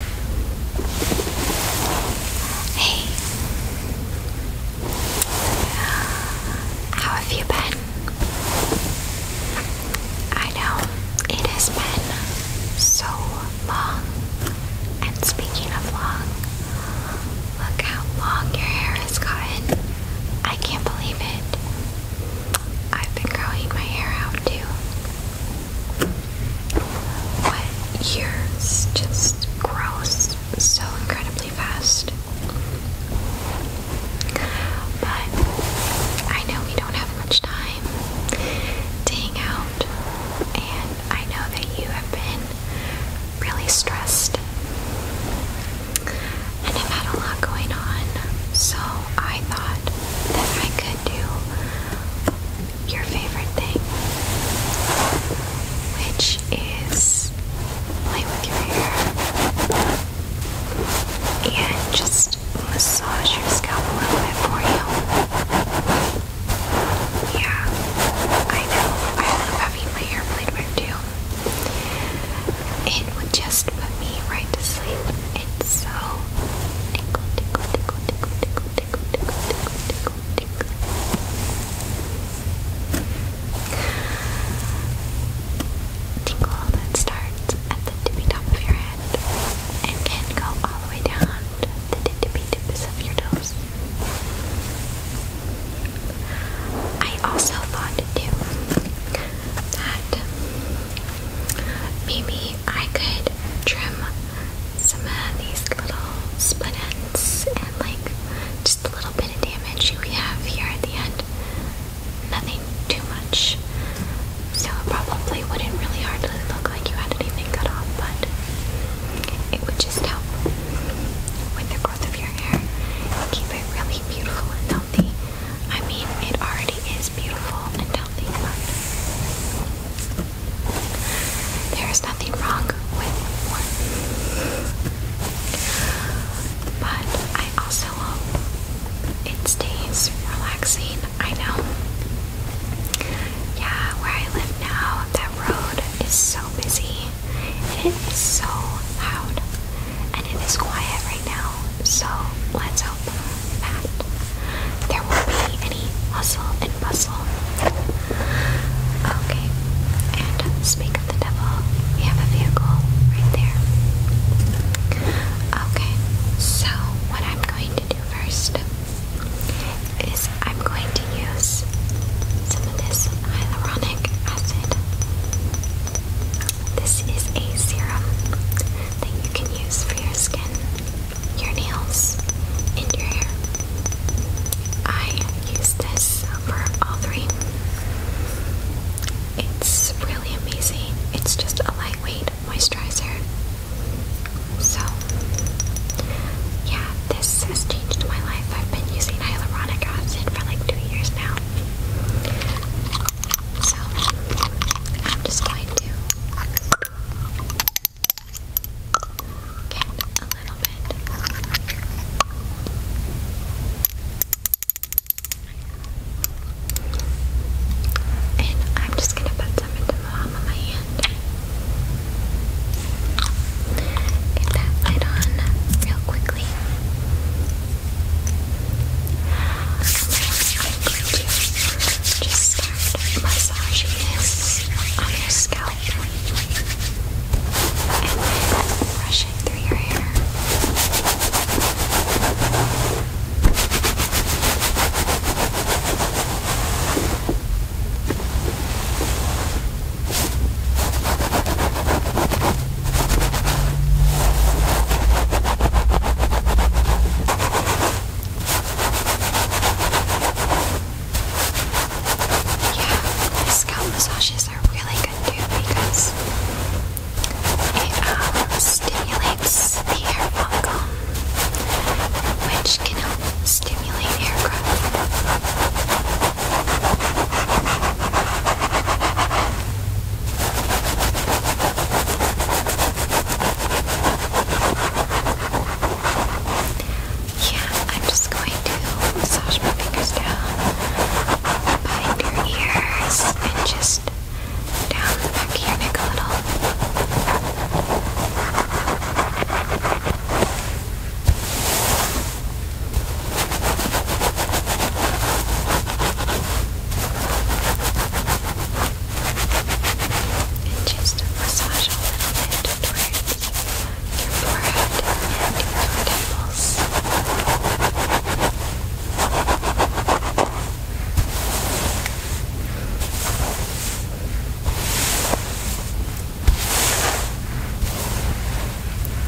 Hey, uh, how have you been? I know it has been so long, and speaking of long, look how long your hair has gotten. I can't believe it. I've been growing my hair out too. Wet years just grows so incredibly fast. But I know we don't have much time to hang out, and I know that you have been really stressed and have had a lot going on, so I thought that I could do your favorite thing, which is play with your hair and just massage your scalp a little bit for you. Yeah, I know. I love having my hair played with too. It would just put me right to sleep. It's so tickle, tickle, tickle, tickle, tickle tickle, tickle, tickle, tickle, tickle. Tingle that starts at the tippy top of your head and can go all the way down to the tippy tips of your toes. I also thought too that maybe I could trim some of these little split ends and like just a little bit of damage we have here at the end. Nothing too much. So it probably wouldn't really hardly look like you had anything cut off, but it would just help with the growth of your hair and keep it really beautiful and healthy. I mean, it already is beautiful and healthy, but there is nothing wrong with warmth. But I also hope it stays relaxing. I know. Yeah, where I live now, that road is so busy. It is so loud. And it is quiet right now. So let's hope that there won't be any hustle bustle. Okay, and speak of the devil, we have a vehicle right there. Okay, so what I'm going to do first is I'm going to use some of this hyaluronic acid. This is a serum that you can use for your skin your nails, and your hair. I use this for all three. It's really amazing. It's just a lightweight moisturizer. So, yeah, this has changed my life. I've been using hyaluronic acid for like two years now. So, I'm just going to get a little bit. And I'm just gonna put some into the palm of my hand. Get that light on real quickly. Just start massaging this on your scalp and then brushing through your hair. Just yeah, scalp massages are really good too because it um, stimulates the hair follicle, which can help stimulate hair growth. Yeah, I'm just going to massage my fingers down behind your ears and just down the back of your a little. And just massage a little bit your forehead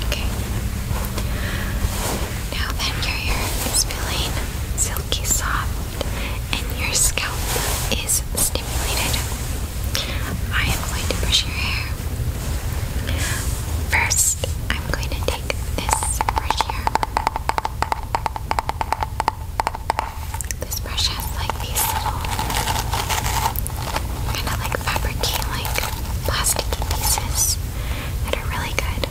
Okay. Now that your hair is feeling silky soft and your scalp is stimulated. I am going to brush your hair. First, I'm going to take this right here. This brush has like these little kind of like fabricy like plasticky pieces that are really good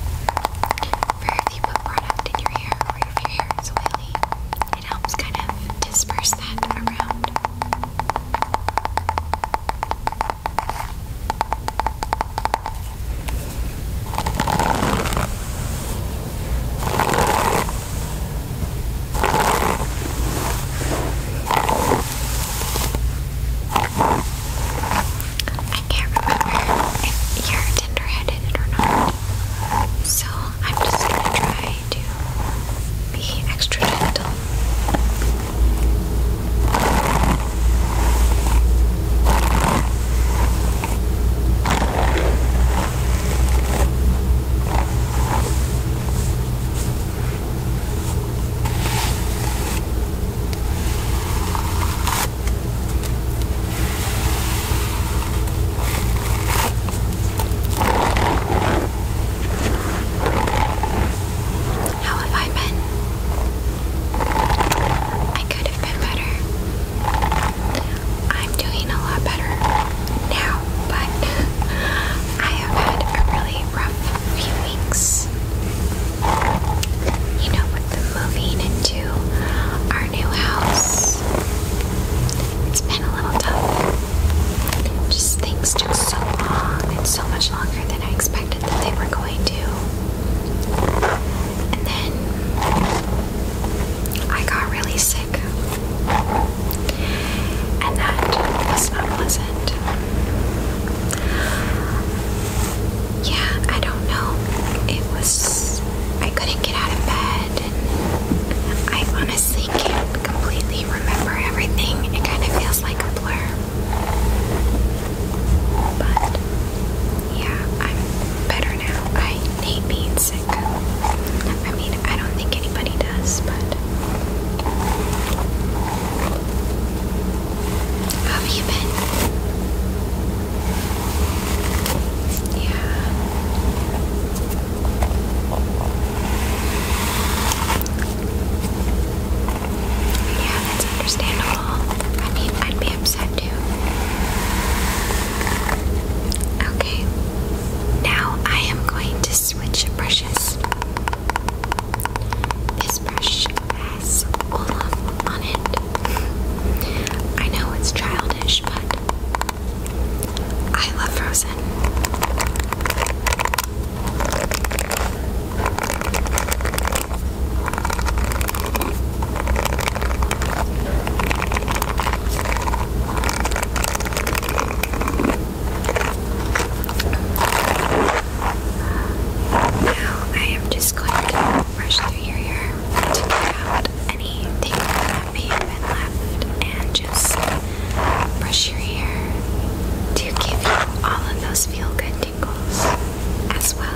for if you put product in your hair or if your hair is oily it helps kind of disperse that around. I can't remember if you're tender headed or not. So I'm just gonna try to be extra gentle. How have I been? I could have been better. I'm doing a lot better now, but I have had a really rough few weeks. You know, with the moving into our new house, it's been a little tough. Just things took so long and so much longer than I expected that they were going to. And then I got really sick. And that was not pleasant. Yeah, I don't know. It was. I couldn't get out of bed. I honestly can't completely remember everything. It kind of feels like a blur. But yeah, I'm better now. I hate being sick. I mean, I don't think anybody does, but have you been? Yeah. Yeah, that's understandable. I mean, I'd be upset too. Okay, now I am going to switch brushes. This brush has Olaf on it. I know it's childish, but I love Frozen. Now I am just going to brush through your hair to get out anything and just brush your hair to give you all of those feel good tingles as well.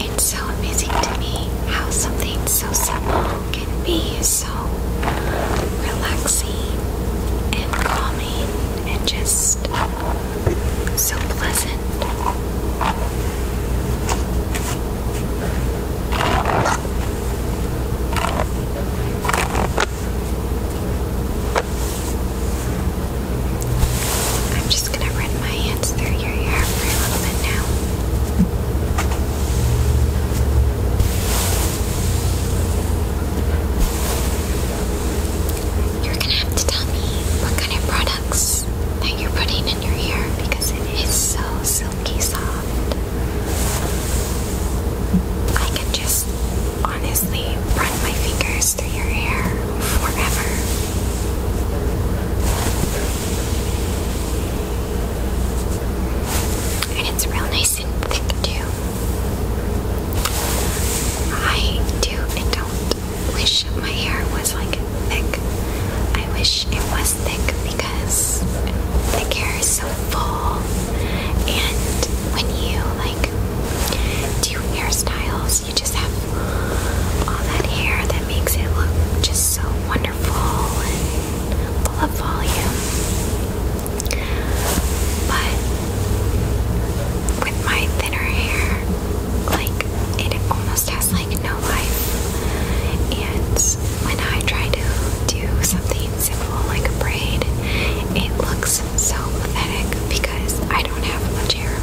It's so amazing to me how something so simple can be so relaxing and calming and just so pleasant. I'm just gonna run my hands through your hair for a little bit now. You're gonna have to tell me what kind of products that you're putting in your hair because it is so silky soft. I can just honestly run my fingers through your hair forever. And it's real nice and thick too. I do and don't wish my hair was like thick. I wish it was thick because thick hair are so full, and when you like do hairstyles, you just have all that hair that makes it look just so wonderful and full of volume. But with my thinner hair, like it almost has like no life, and when I try to do something simple like a braid. It looks so pathetic because I don't have much hair.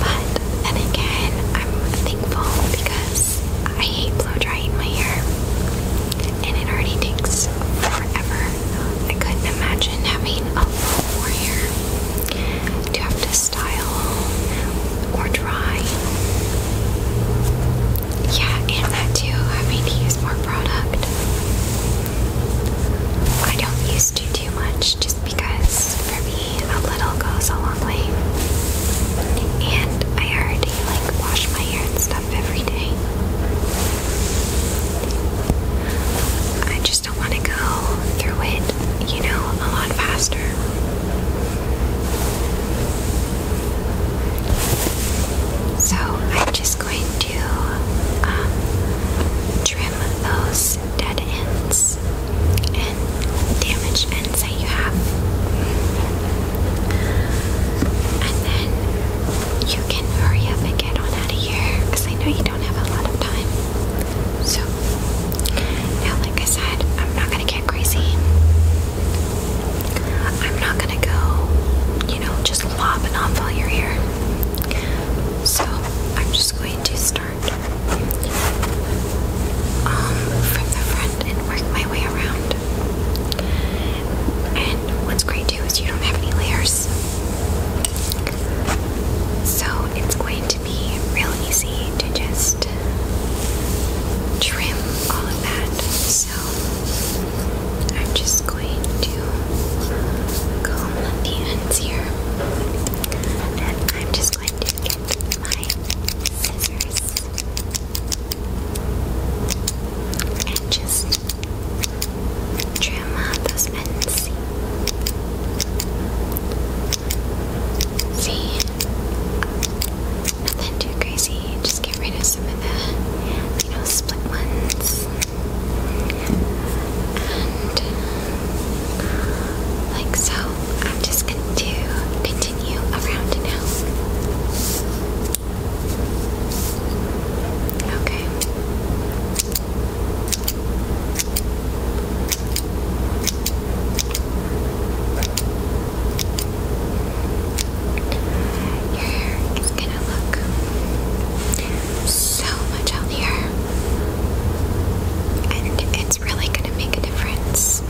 But then again, I'm thankful because I hate blow drying my hair. And it already takes forever. I couldn't imagine having a lot more hair to have to style or dry. Yeah, and that too. I mean, to use more product. I don't use to too much just because for me, a little goes a long way. And I already like wash my hair and stuff every day. I just don't want to go through it, you know, a lot faster. So I'm just going to um, trim those dead ends and damaged ends that you have. And then you can hurry up and get on out of here because I know you don't have a lot of time. So, now, like I said, I'm not going to get crazy. I'm not gonna go, you know, just lopping off all your hair. So I'm just going to start um, from the front and work my way around. And what's great too is you don't have any layers. So it's going to be real easy to just trim all of that. So I'm just going to comb the ends here. And I'm just going to get my scissors and just trim out those ends. See? Nothing too crazy. Just get rid of some of the, you know, split ones. Uh, like so, I'm just going to continue around now. Okay. Your hair is gonna look so much healthier, and it's really gonna make a difference.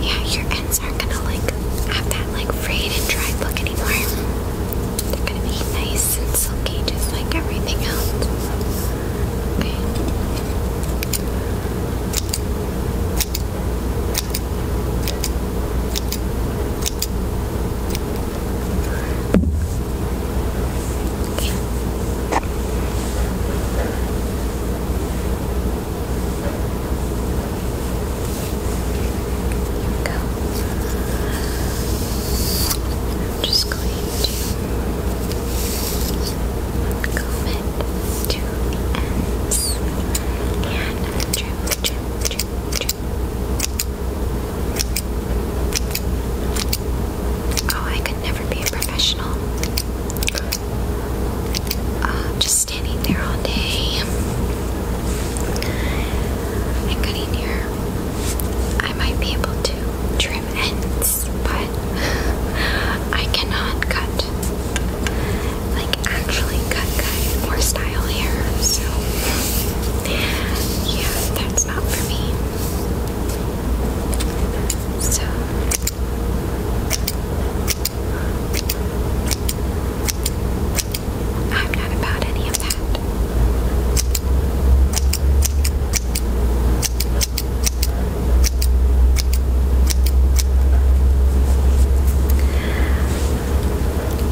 Yeah, your ends aren't gonna like have that like frayed and dried look anymore. They're gonna be nice and silky, just like everything else. Okay. I'm just going to comb it to ends and trim, trim, trim, trim, Oh, I could never be a professional. Uh, just standing there all day. I cut in here. I might be able to trim ends, but I cannot cut like actually cut cut or style hair. So yeah, that's not for me. So I'm not about any of that.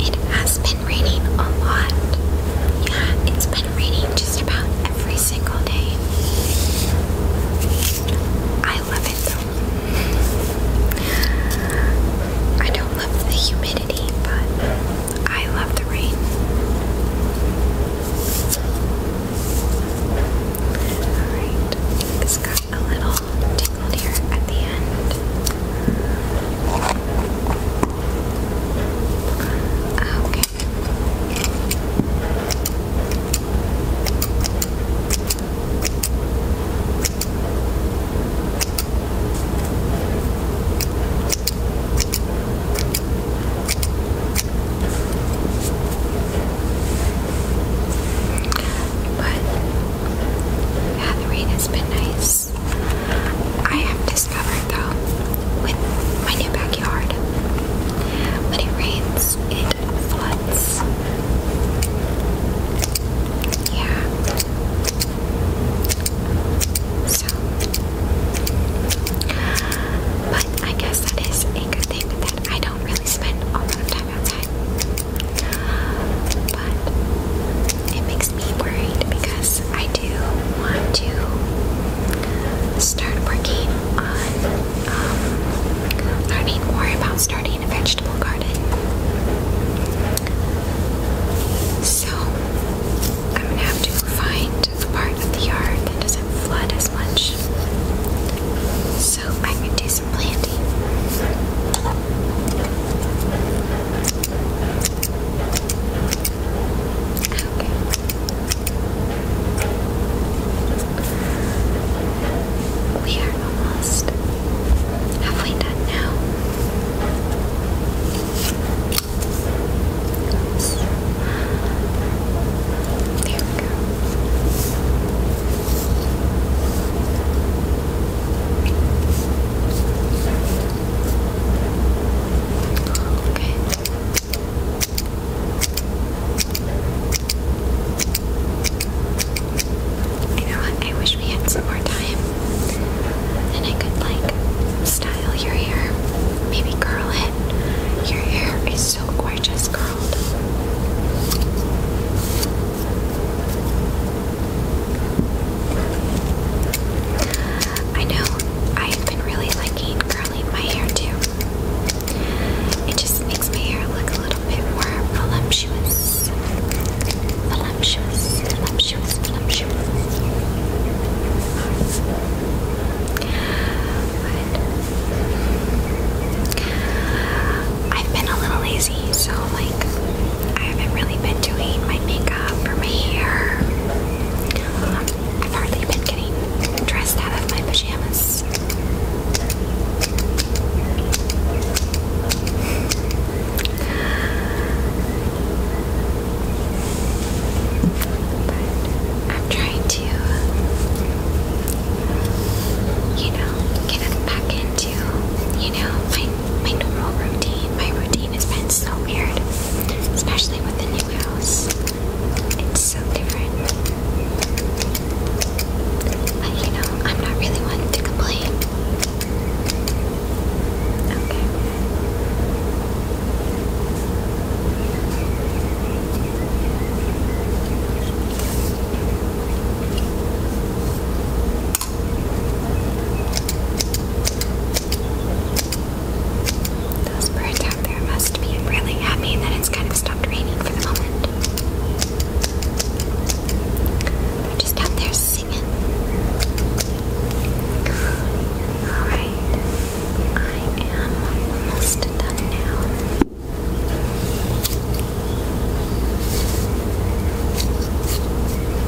It has been raining a lot. Yeah, it's been raining just about every single day. I love it though. I don't love the humidity, but I love the rain. Alright, this guy a little tingled here at the end. Okay. But yeah, the rain has been nice. I have discovered though, with my new backyard, when it rains, it floods. Yeah. So, but I guess that is a good thing that I don't really spend a lot of time outside. But it makes me worried because I do want to start working on um, learning more about starting a vegetable garden. So I'm gonna have to find the part of the yard that doesn't flood as much so I can do some planting. Okay. We are almost halfway done now. Oops. There we go. You know what? I wish we had some more time. and I could like style your hair, maybe curl it. Your hair is so gorgeous curled. I know I've been really liking curling my hair too. It just makes my hair look a little bit more voluptuous. Voluptuous, voluptuous, voluptuous. I've been a little lazy so like I haven't really been doing my makeup or my hair. Um, I've hardly been getting dressed out of my pajamas. But I'm trying to, you know, get back into you know, my, my normal routine. My routine has been so weird, especially with the new house. It's so different. But, you know, I'm not really one to complain. Those birds out there must be really happy that it's kind of stopped raining for the moment. just out there singing. Alright, I am almost done now.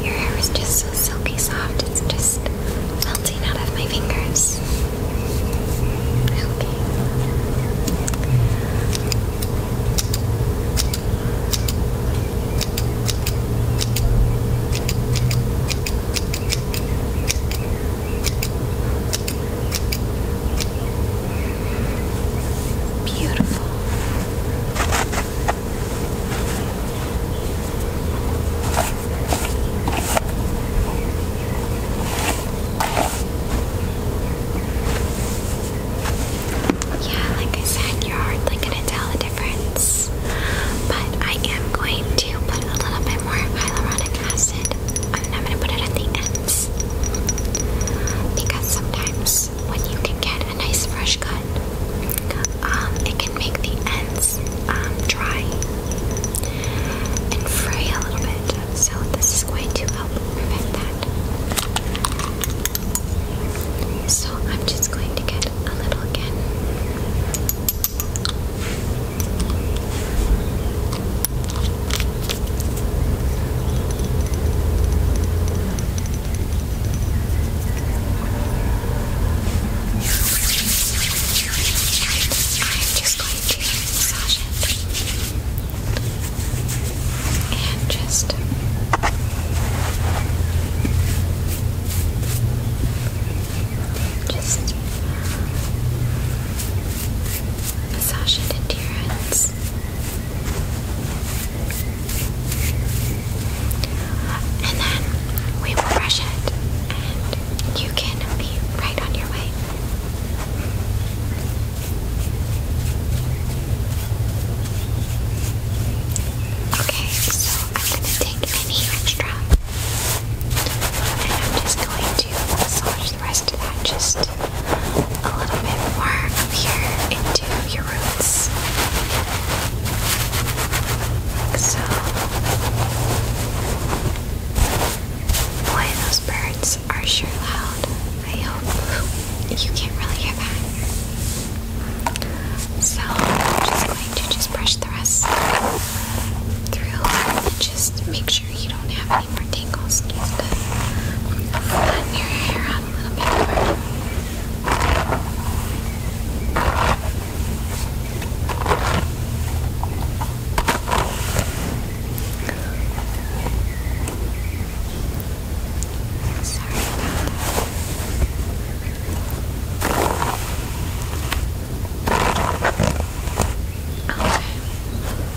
Your hair is just so silky soft, it's just melting out of my fingers. Beautiful. Yeah, like I said, you're hardly gonna tell the difference. But I am going to put a little bit more hyaluronic acid. I'm gonna put it at the ends. Because sometimes when you can get a nice fresh cut. Um, it can make the ends um, dry and fray a little bit, so this is going to help prevent that. So I'm just going to get a little again just going to massage and just just massage it into your hands. And then we will brush it and you can be right on your way. Okay, so I'm going to take any extra and I'm just going to massage the rest of that just a little bit more up here into your roots. so. Boy, those birds are sure loud. I hope you can't really hear that. So, I'm just going to just brush the rest through just make sure you don't have any more tingles just to flatten your hair out a little bit more. Sorry Okay. And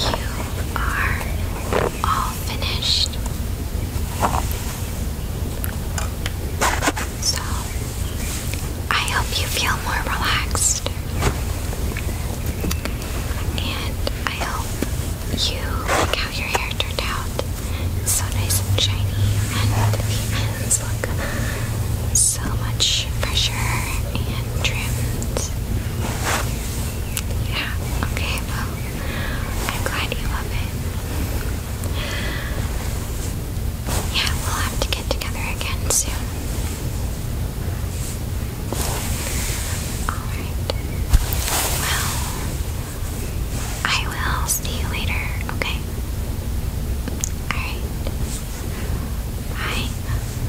you are all finished. So, I hope you feel more relaxed. And I hope you like how your hair turned out. so nice and shiny, and the ends look so much fresher and trimmed. Yeah, okay, well, I'm glad you love it. Yeah, we'll have to get together again soon. Alright. Well, I will see you later, okay? Alright. Bye.